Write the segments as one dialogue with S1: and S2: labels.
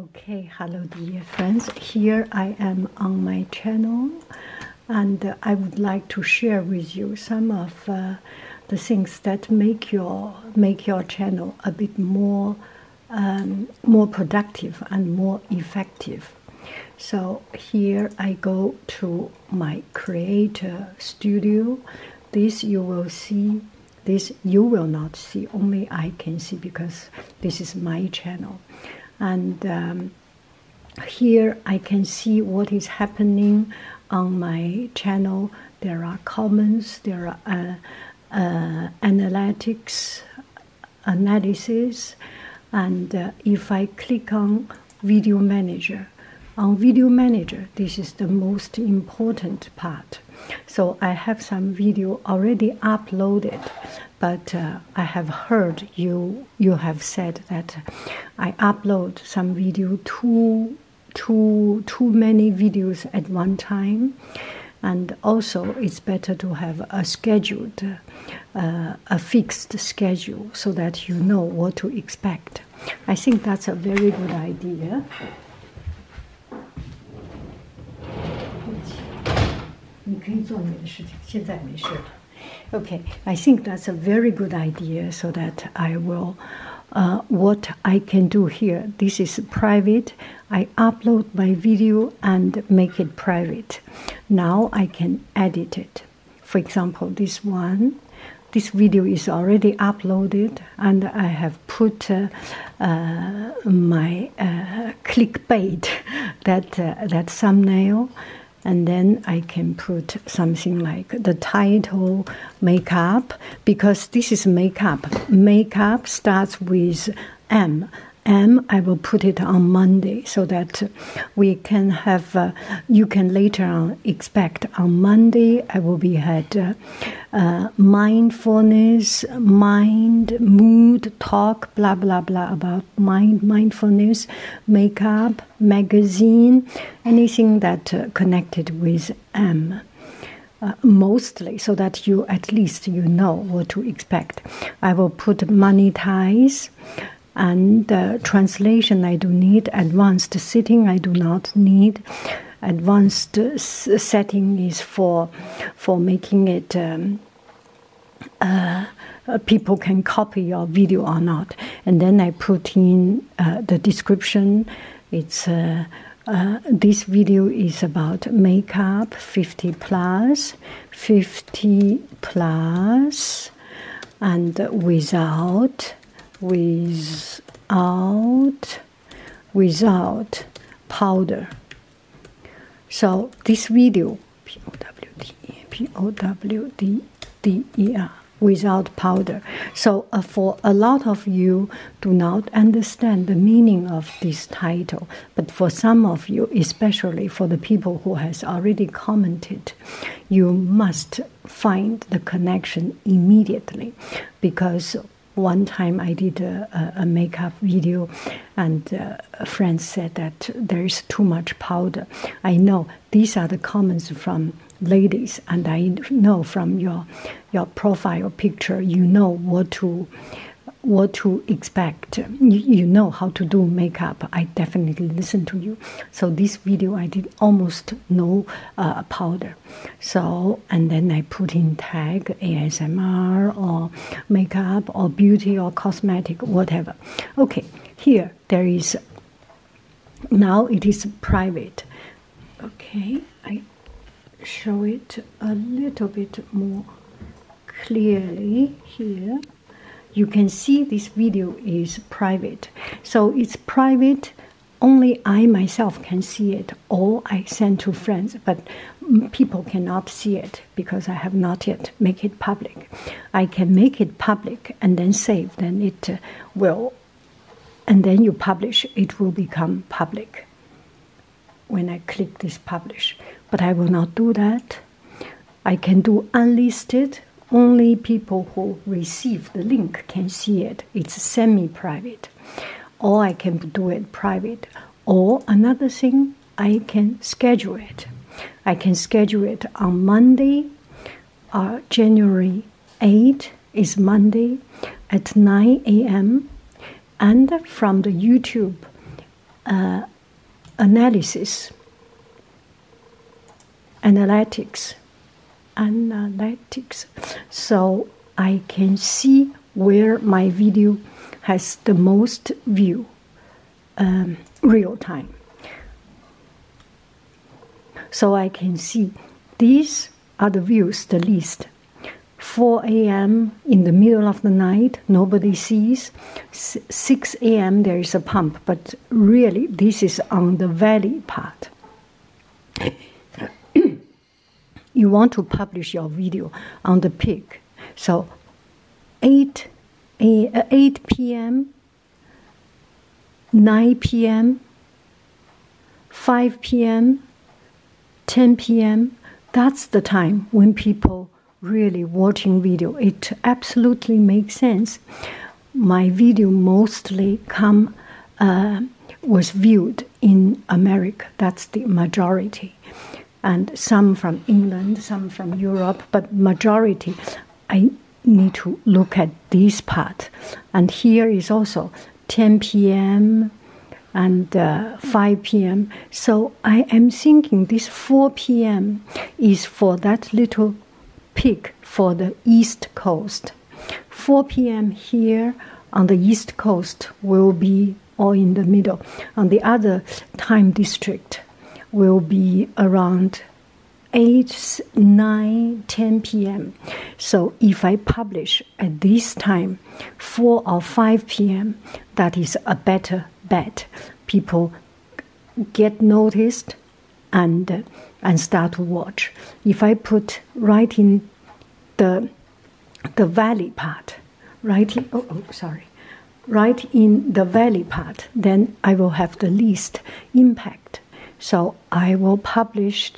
S1: okay hello dear friends here i am on my channel and i would like to share with you some of uh, the things that make your make your channel a bit more um, more productive and more effective so here i go to my creator studio this you will see this you will not see, only I can see because this is my channel. And um, here I can see what is happening on my channel. There are comments, there are uh, uh, analytics, analysis, and uh, if I click on Video Manager, on Video Manager, this is the most important part. So I have some video already uploaded, but uh, I have heard you you have said that I upload some video too too too many videos at one time, and also it's better to have a scheduled uh, a fixed schedule so that you know what to expect. I think that's a very good idea. Okay, I think that's a very good idea so that I will. Uh, what I can do here. This is private. I upload my video and make it private. Now I can edit it. For example, this one, this video is already uploaded and I have put uh, uh, my uh, clickbait that that thumbnail, and then I can put something like the title makeup because this is makeup. Makeup starts with M. M. I will put it on Monday so that we can have. you can later on expect on Monday I will be had uh, mindfulness, mind, mood, talk, blah blah blah about mind, mindfulness, makeup, magazine, anything that uh, connected with M. Um, uh, mostly so that you at least you know what to expect i will put monetize and translation i do need advanced sitting i do not need advanced setting is for for making it um, uh, people can copy your video or not. And then I put in uh, the description. It's uh, this video is about makeup 50 plus, 50 plus, and without, without without powder. So this video, P O W D E P O W D D E R, without powder. So uh, for a lot of you, do not understand the meaning of this title. But for some of you, especially for the people who has already commented, you must find the connection immediately, because one time I did a, makeup video, and uh, friends said that there is too much powder. I know these are the comments from ladies, and I know from your your profile picture, you know what to what to expect. You, know how to do makeup. I definitely listen to you. So this video I did almost no uh, powder. So, and then I put in tag ASMR or makeup or beauty or cosmetic, whatever. Okay, here there is now it is private. Okay, I show it a little bit more clearly here. You can see this video is private, so it's private only I myself can see it, or I send to friends, but people cannot see it because I have not yet make it public. I can make it public and then save, then it uh, will, and then you publish, it will become public when I click this publish. But I will not do that. I can do unlisted, only people who receive the link can see it. It's semi private or I can do it private. Or another thing, I can schedule it. I can schedule it on Monday, uh, January 8 is Monday at 9 a.m. And from the YouTube uh, analysis, analytics, analytics so I can see where my video has the most view um, real time. So I can see these are the views the least. 4 a.m. in the middle of the night, nobody sees. 6 a.m. there is a pump, but really this is on the valley part you want to publish your video on the peak. So 8, 8, uh, p.m., 9 p.m., 5 p.m., 10 p.m., that's the time when people really watching video. It absolutely makes sense. My video mostly come uh, was viewed in America. That's the majority. And some from England, some from Europe, but majority. I need to look at this part. And here is also 10 p.m. and uh, 5 p.m. So I am thinking this 4 p.m. is for that little peak for the East Coast. 4 p.m. here on the East Coast will be all in the middle. On the other time district will be around 8, 9, 10 p.m. So if I publish at this time, 4 or 5 p.m., that is a better bet. People get noticed and and start to watch. If I put right in the the valley part, right? Oh, oh, sorry. Right in the valley part, then I will have the least impact. So I will publish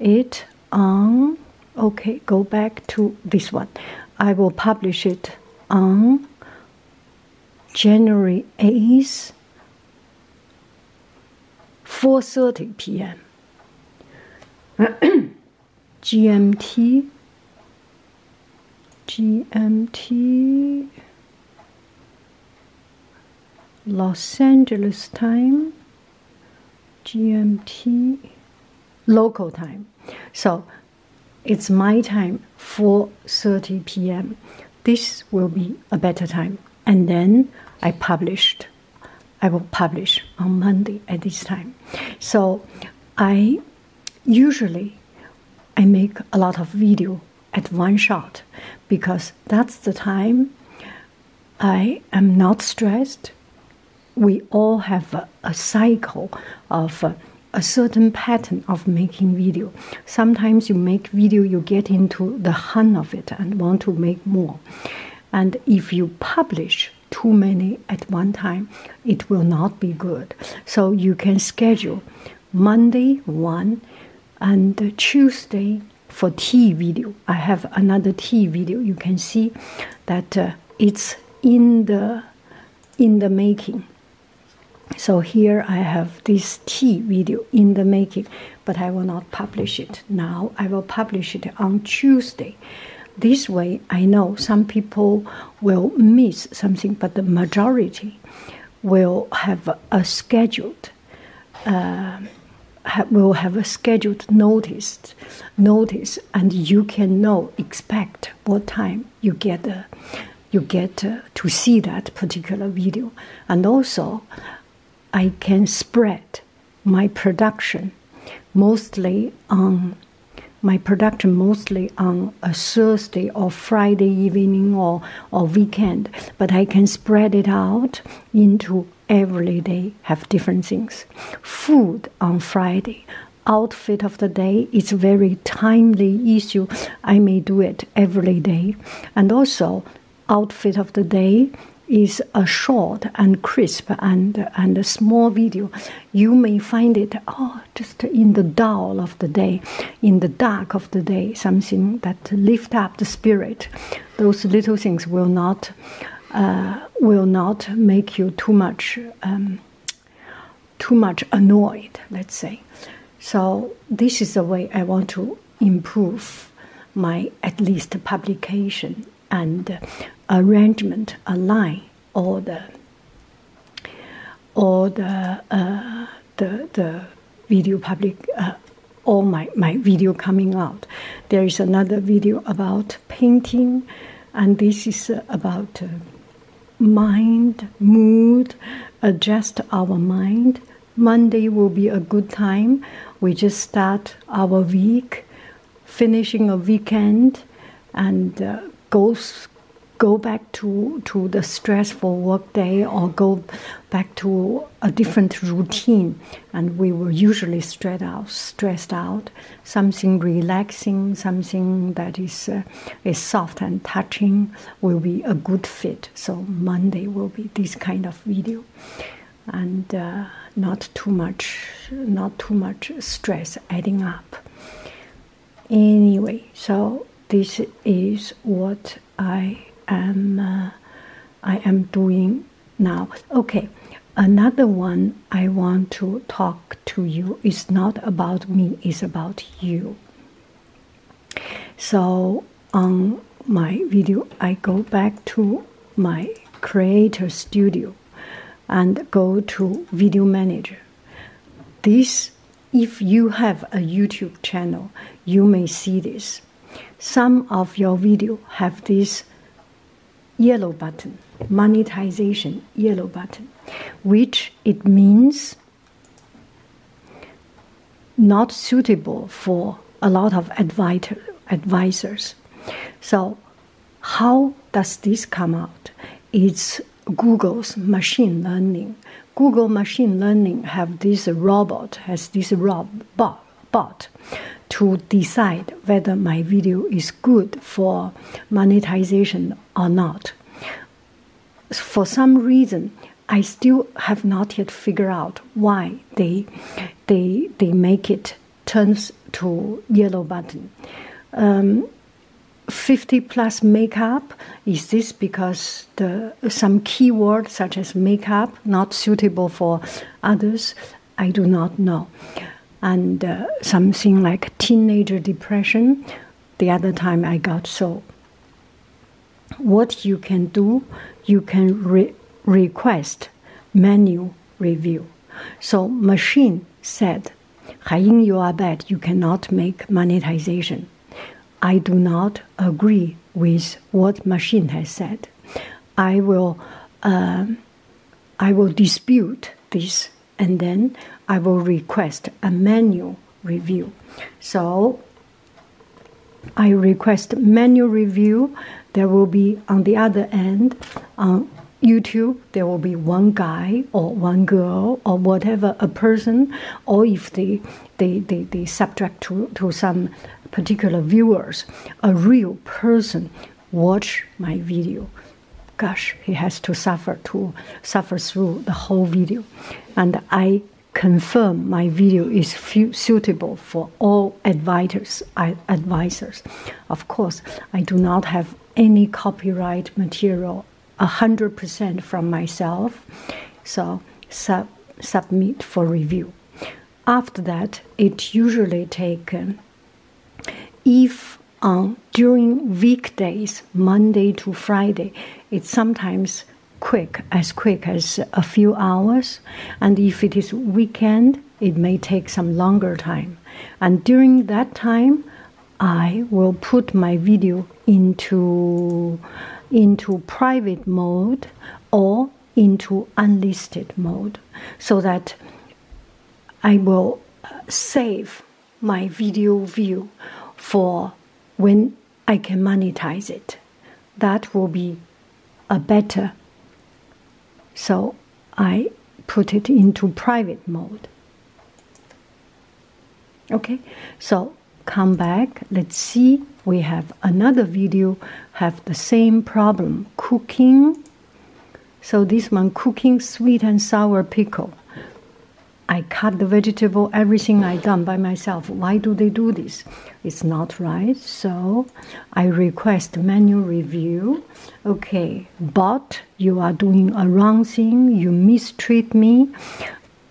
S1: it on. Okay, go back to this one. I will publish it on January 8th, 4:30 p.m. GMT, GMT, Los Angeles time, GMT, local time. So it's my time, 4:30 p.m. This will be a better time, and then I published. I will publish on Monday at this time. So I usually I make a lot of video at one shot because that's the time I am not stressed. We all have a, cycle of a, certain pattern of making video. Sometimes you make video, you get into the hang of it and want to make more. And if you publish too many at one time, it will not be good. So you can schedule Monday one and Tuesday for tea video. I have another tea video. You can see that uh, it's in the in the making. So here I have this tea video in the making but I will not publish it now. I will publish it on Tuesday. This way, I know some people will miss something, but the majority will have a scheduled, uh, will have a scheduled notice, notice, and you can know expect what time you get, uh, you get uh, to see that particular video, and also I can spread my production mostly on my production mostly on a Thursday or Friday evening or, or weekend, but I can spread it out into every day, have different things. Food on Friday, outfit of the day is very timely issue. I may do it every day. And also outfit of the day is a short and crisp and and a small video you may find it oh just in the dull of the day in the dark of the day something that lift up the spirit those little things will not uh, will not make you too much um, too much annoyed let's say so this is the way i want to improve my at least publication and arrangement align all the all the uh, the the video public uh, all my my video coming out. There is another video about painting, and this is uh, about mind mood. Adjust our mind Monday will be a good time. We just start our week, finishing a weekend, and uh, goes go back to, to the stressful workday or go back to a different routine and we were usually stressed out stressed out something relaxing something that is uh, is soft and touching will be a good fit so monday will be this kind of video and uh, not too much not too much stress adding up anyway so this is what i am uh, i am doing now okay another one i want to talk to you is not about me it's about you so on my video, I go back to my creator studio and go to video manager. This, if you have a YouTube channel, you may see this. Some of your video have this yellow button, monetization yellow button, which it means not suitable for a lot of advisor, advisors. So, how does this come out? It's Google's machine learning. Google machine learning have this robot, has this rob, bot to decide whether my video is good for monetization or not. For some reason, I still have not yet figured out why they they they make it turns to yellow button. Um, 50 plus makeup is this because the some keyword such as makeup not suitable for others i do not know and uh, something like teenager depression the other time i got so what you can do, you can request manual review. So machine said, Haiying, you are bad. You cannot make monetization. I do not agree with what machine has said. I will, um, I will dispute this, and then I will request a manual review. So I request manual review. There will be on the other end on YouTube, there will be one guy or one girl or whatever a person, or if they they, they, they subject to, to some particular viewers, a real person watch my video. Gosh, he has to suffer to suffer through the whole video. And I confirm my video is suitable for all advisors. of course, I do not have any copyright material, hundred percent from myself, so submit for review. After that, it usually taken if on uh, during weekdays, Monday to Friday, it sometimes quick, as quick as a few hours. And if it is weekend, it may take some longer time. And during that time, I will put my video into into private mode or into unlisted mode so that I will uh, save my video view for when I can monetize it. That will be a better. So I put it into private mode. Okay, so come back. Let's see. We have another video have the same problem. Cooking. So this one cooking sweet and sour pickle. I cut the vegetable, everything I done by myself. Why do they do this? it's not right. So I request manual review. Okay, but you are doing a wrong thing. You mistreat me.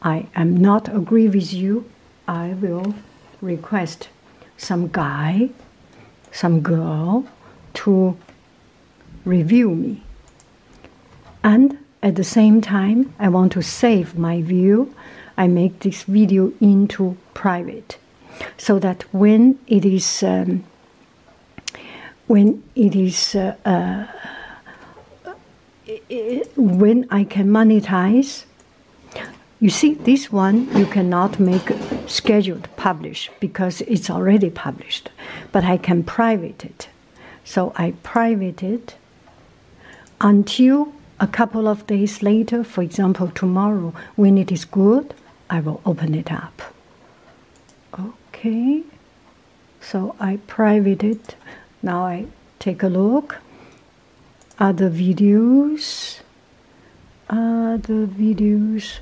S1: I am not agree with you. I will request some guy, some girl to review me. And at the same time, I want to save my view. I make this video into private so that when it is um, when it is uh, uh, when I can monetize you see, this one you cannot make scheduled publish because it's already published, but I can private it. So I private it until a couple of days later, for example, tomorrow, when it is good, I will open it up. Okay, so I private it. Now I take a look. Other videos, other videos,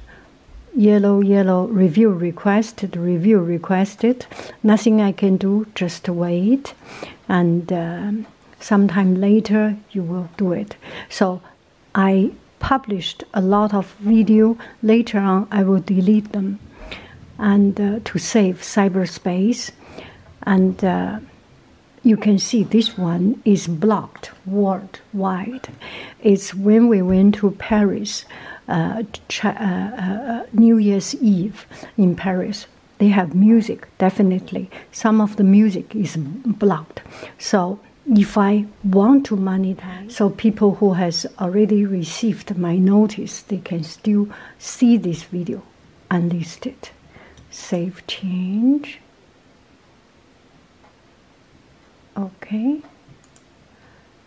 S1: yellow, yellow, review requested, review requested. Nothing I can do, just wait and um, sometime later you will do it. So I published a lot of video. Later on, I will delete them, and uh, to save cyberspace. And uh, you can see this one is blocked worldwide. It's when we went to Paris, uh, New Year's Eve in Paris. They have music, definitely. Some of the music is blocked. So if I want to monetize, so people who has already received my notice, they can still see this video unlisted. Save change. Okay.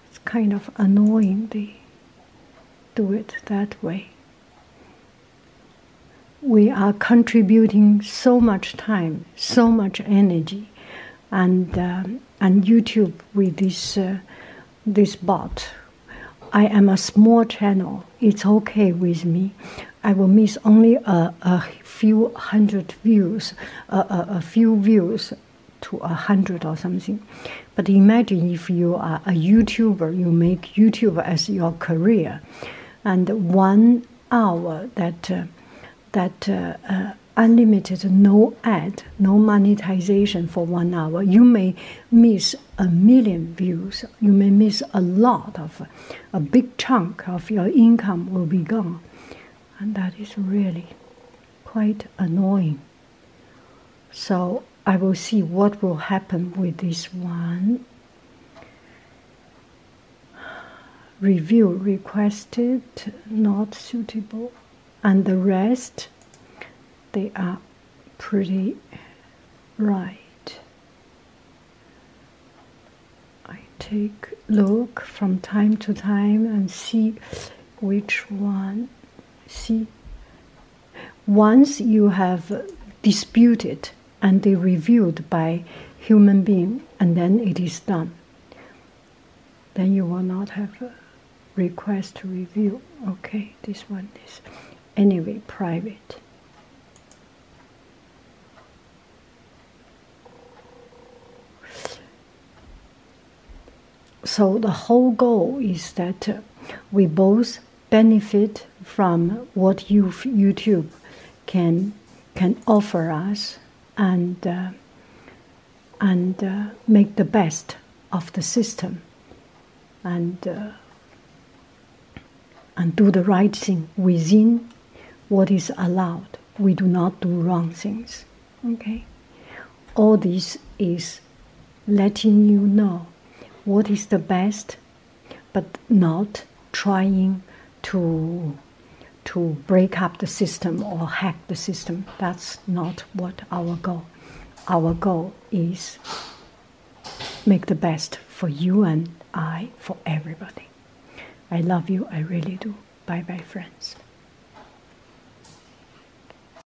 S1: It's kind of annoying they do it that way we are contributing so much time, so much energy, and uh, and YouTube with this uh, this bot. I am a small channel. It's okay with me. I will miss only a, a few hundred views, a, a few views to a hundred or something. But imagine if you are a YouTuber, you make YouTube as your career, and one hour that uh, that uh, uh, unlimited, no ad, no monetization for one hour, you may miss a million views. You may miss a lot of a big chunk of your income will be gone, and that is really quite annoying. So I will see what will happen with this one. Review requested, not suitable, and the rest they are pretty right. I take look from time to time and see which one see once you have disputed and they reviewed by human being and then it is done then you will not have a request to review okay this one is anyway private so the whole goal is that we both benefit from what YouTube can can offer us and uh, and uh, make the best of the system and uh, and do the right thing within what is allowed. We do not do wrong things. Okay, all this is letting you know what is the best, but not trying to to break up the system or hack the system. That's not what our goal. Our goal is make the best for you and I, for everybody. I love you, I really do. Bye bye, friends.